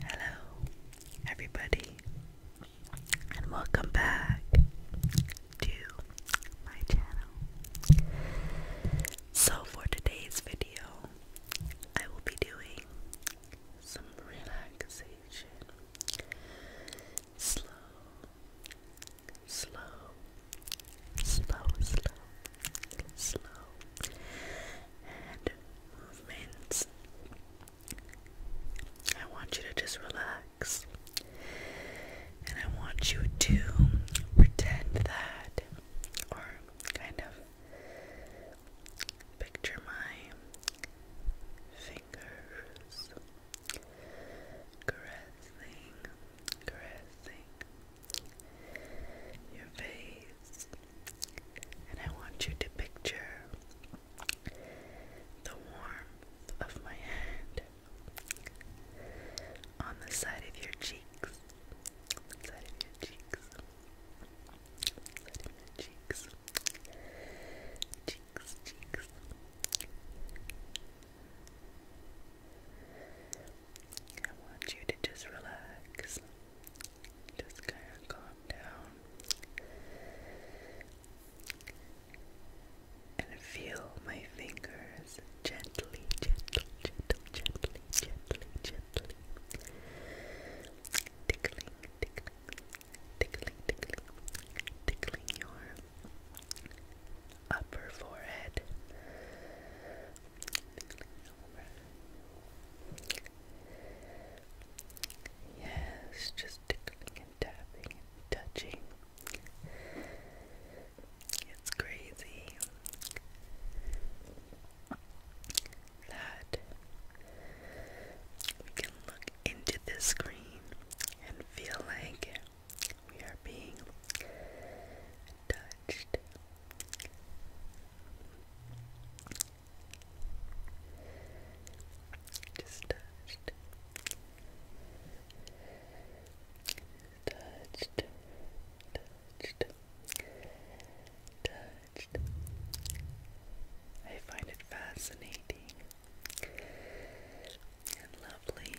Hello, everybody, and welcome back to my channel. So, for today's video, I will be doing some relaxation, slow, slow, slow, slow, slow, movements. I want you to just relax. And I want you to pretend that, or kind of picture my fingers caressing, caressing your face, and I want you to picture the warmth of my hand on the side of your cheeks. side of your cheeks. Side cheeks. Cheeks, cheeks. I want you to just relax. Just kind of calm down and feel my fingers gently, gently, gentle, gently, gently, gently tickling, tickling, tickling, tickling, tickling your upper forehead, Yes, just tickling and tapping and touching. It's crazy that we can look into the screen and feel like we are being touched. Just touched. Touched. Touched. Touched. I find it fascinating and lovely,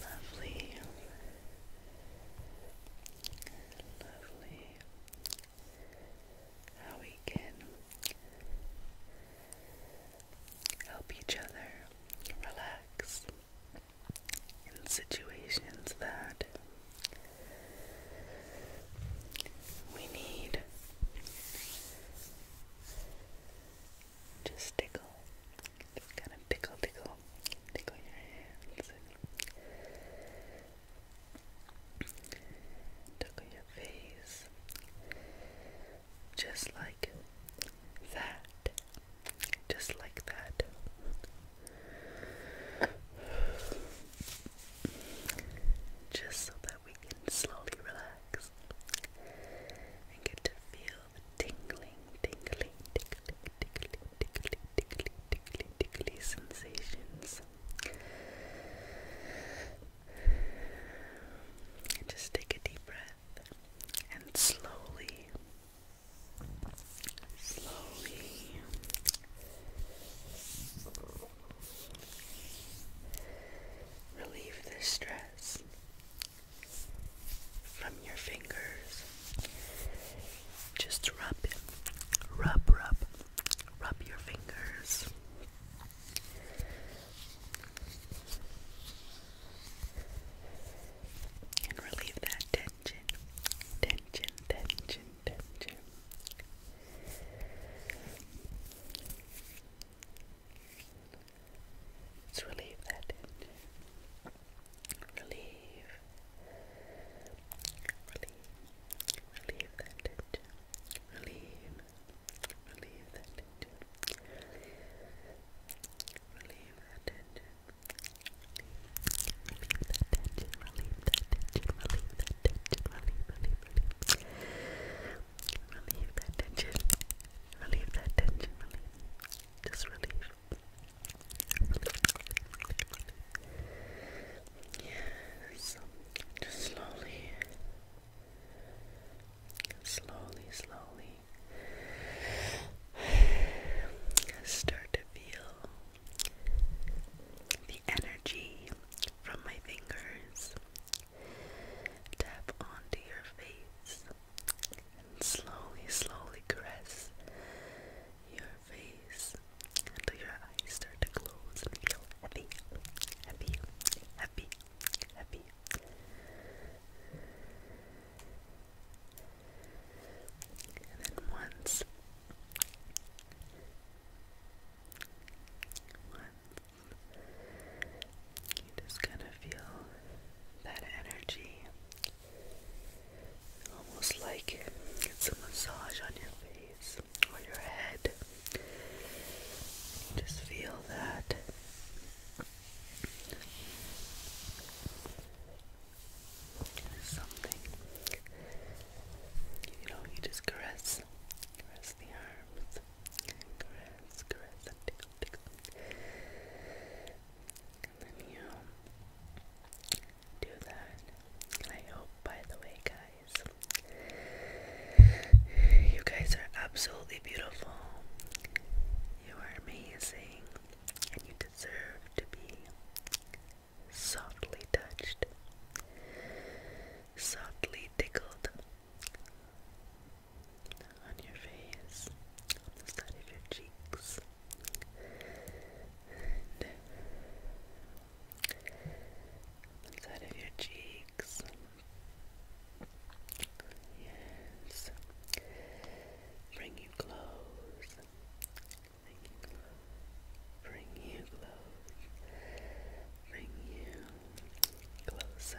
lovely, lovely how we can help each other relax in situations that we need to tickle just kind of tickle, tickle, tickle your hands, tickle your face, just like that, just like that. Just so that we can slowly relax and get to feel tingling, tingling, tingling, tingling, tingly, tingly, tingly, tingly sensations. And just take a deep breath and slowly, slowly. Relieve the stress from your fingers. Just rub it. Rub, rub, rub your fingers. And relieve that tension, tension, tension, tension. Let's relieve that tension relieve, relieve, relieve that tension, relieve, relieve that tension, relieve that tension, relieve that tension, relieve that tension, relieve that tension, relieve, relieve, relieve. Relieve that tension. Relieve that tension. Relieve. Just relieve. Yes, just slowly, slowly, slowly start to feel the energy from my fingers tap onto your face slowly, slowly caress your face until your eyes start to close and feel happy, happy, happy, happy. And then once, once, you just kind of feel that energy Almost like it's a massage on your face or your head. Just feel that. something. You know, you just caress, caress the arms, caress, caress, and tickle, and then you do that. I hope, by the way, guys, you guys are absolutely beautiful. You are amazing, and you deserve to be softly touched, softly tickled, on your face, on the side of your cheeks, on the side of your cheeks. Yes, bring you close. Bring you close. Bring you Closer.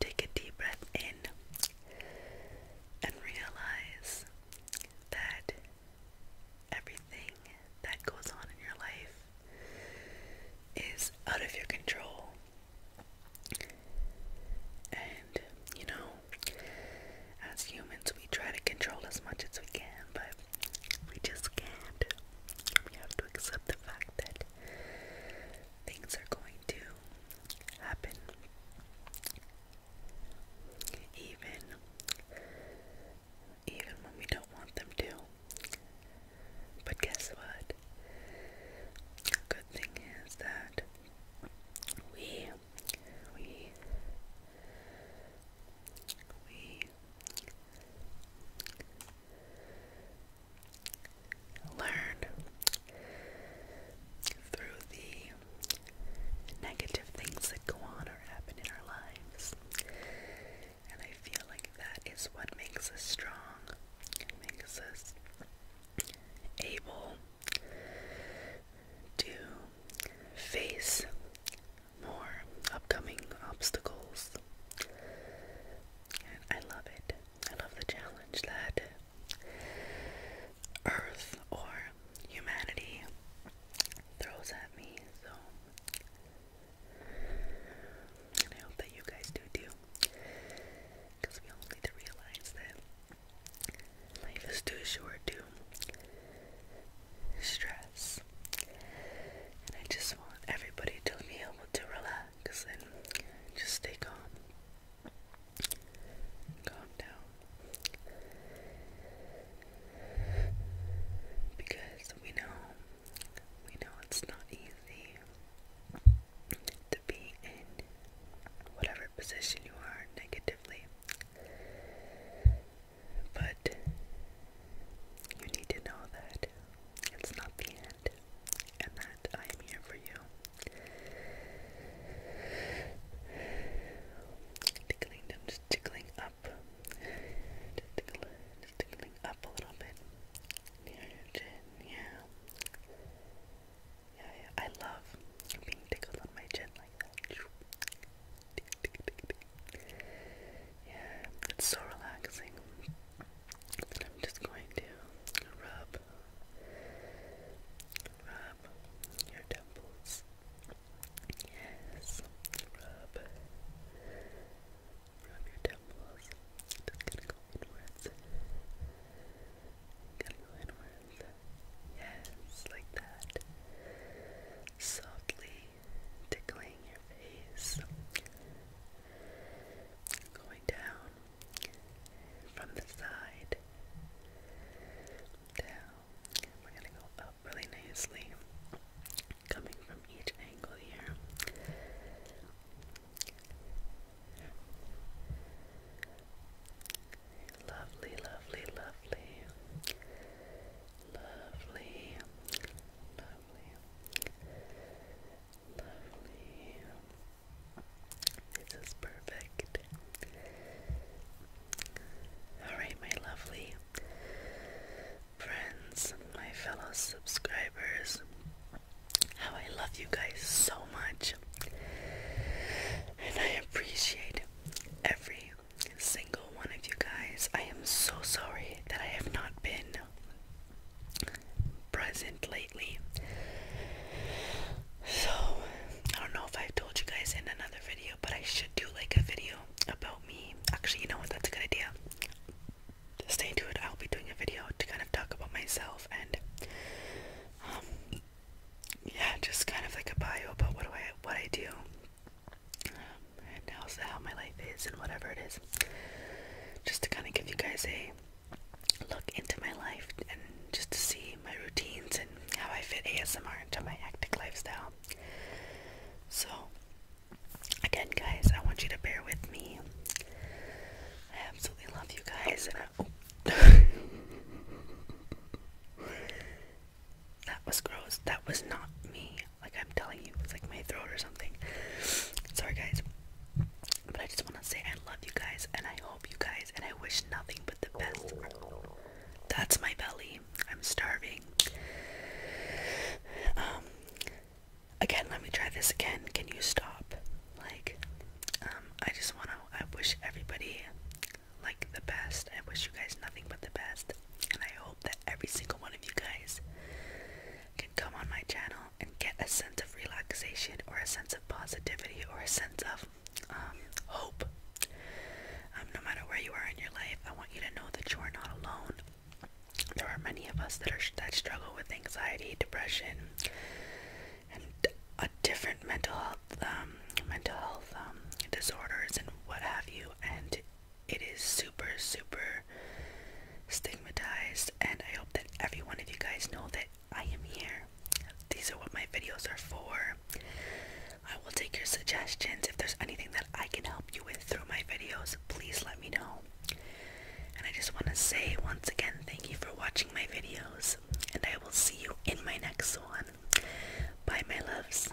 Take a deep breath in and realize that everything that goes on in your life is out of your control. And you know, as humans, we try to control as much as we can, but we just can't. We have to accept the fact that things are going to happen. Even even when we don't want them to. But guess what? The good thing is that we we we learn through the negative things that go on or happen in our lives. And I feel like that is what makes us strong, it makes us able to face more upcoming obstacles I love it. I love the challenge that Earth or humanity throws at me. So, and I hope that you guys do too. Because we all need to realize that life is too short to stress. And I just want everybody to be able to relax. Because then just stay calm. Calm down. Because we know, we know it's not easy to be in whatever position you are negatively. But you need to know that it's not the end and that I am here for you. Tickling, i just tickling up. Just, tickle, just tickling up a little bit. your chin, Yeah, yeah. I love being tickled on my chin like that. Yeah, it's so relaxing. I'm just going to rub, rub your temples. Yes, rub, rub your temples. Just gonna go inwards. Gonna go inwards. Yes, like that. Softly, tickling your face, going down from the side, down. We're going to go up really nicely, coming from each angle here. Lovely, lovely, lovely, lovely, lovely, lovely, lovely. This is perfect. Alright, my lovely friends, my fellow subscribers, how I love you guys so much. And I appreciate every single single one of you guys. I am so sorry that I have not been present lately. So, I don't know if I've told you guys in another video, but I should do like a video about me. Actually, you know what? That's a good idea. Stay tuned. I'll be doing a video to kind of talk about myself and, um, yeah, just kind of like a bio about what I what I do and also how my life is and whatever it is. Just to kind of give you guys a look into my life and just to see my routines and how I fit ASMR into my hectic lifestyle. So, again, guys, I want you to bear with me. I absolutely love you guys. And I, oh. that was gross. That was not me like I'm telling you, it's like my throat or something. Sorry guys. But I just wanna say I love you guys and I hope you guys and I wish nothing but the best. That's my belly. I'm starving. Um again let me try this again. Can you stop? Like um I just wanna I wish everybody like the best. I wish you guys nothing but the best and I hope that every single one of you guys can come on my channel and get a sense of relaxation or a sense of positivity or a sense of um, hope. Um, no matter where you are in your life, I want you to know that you are not alone. There are many of us that are that struggle with anxiety, depression, and a different mental health, um, mental health disorders, and what have you. And it is super, super stigmatized, and I hope that every one of you guys know that I am here. These are what my videos are for. I will take your suggestions. If there's anything that I can help you with through my videos, please let me know. And I just want to say once again, thank you for watching my videos, and I will see you in my next one. Bye, my loves.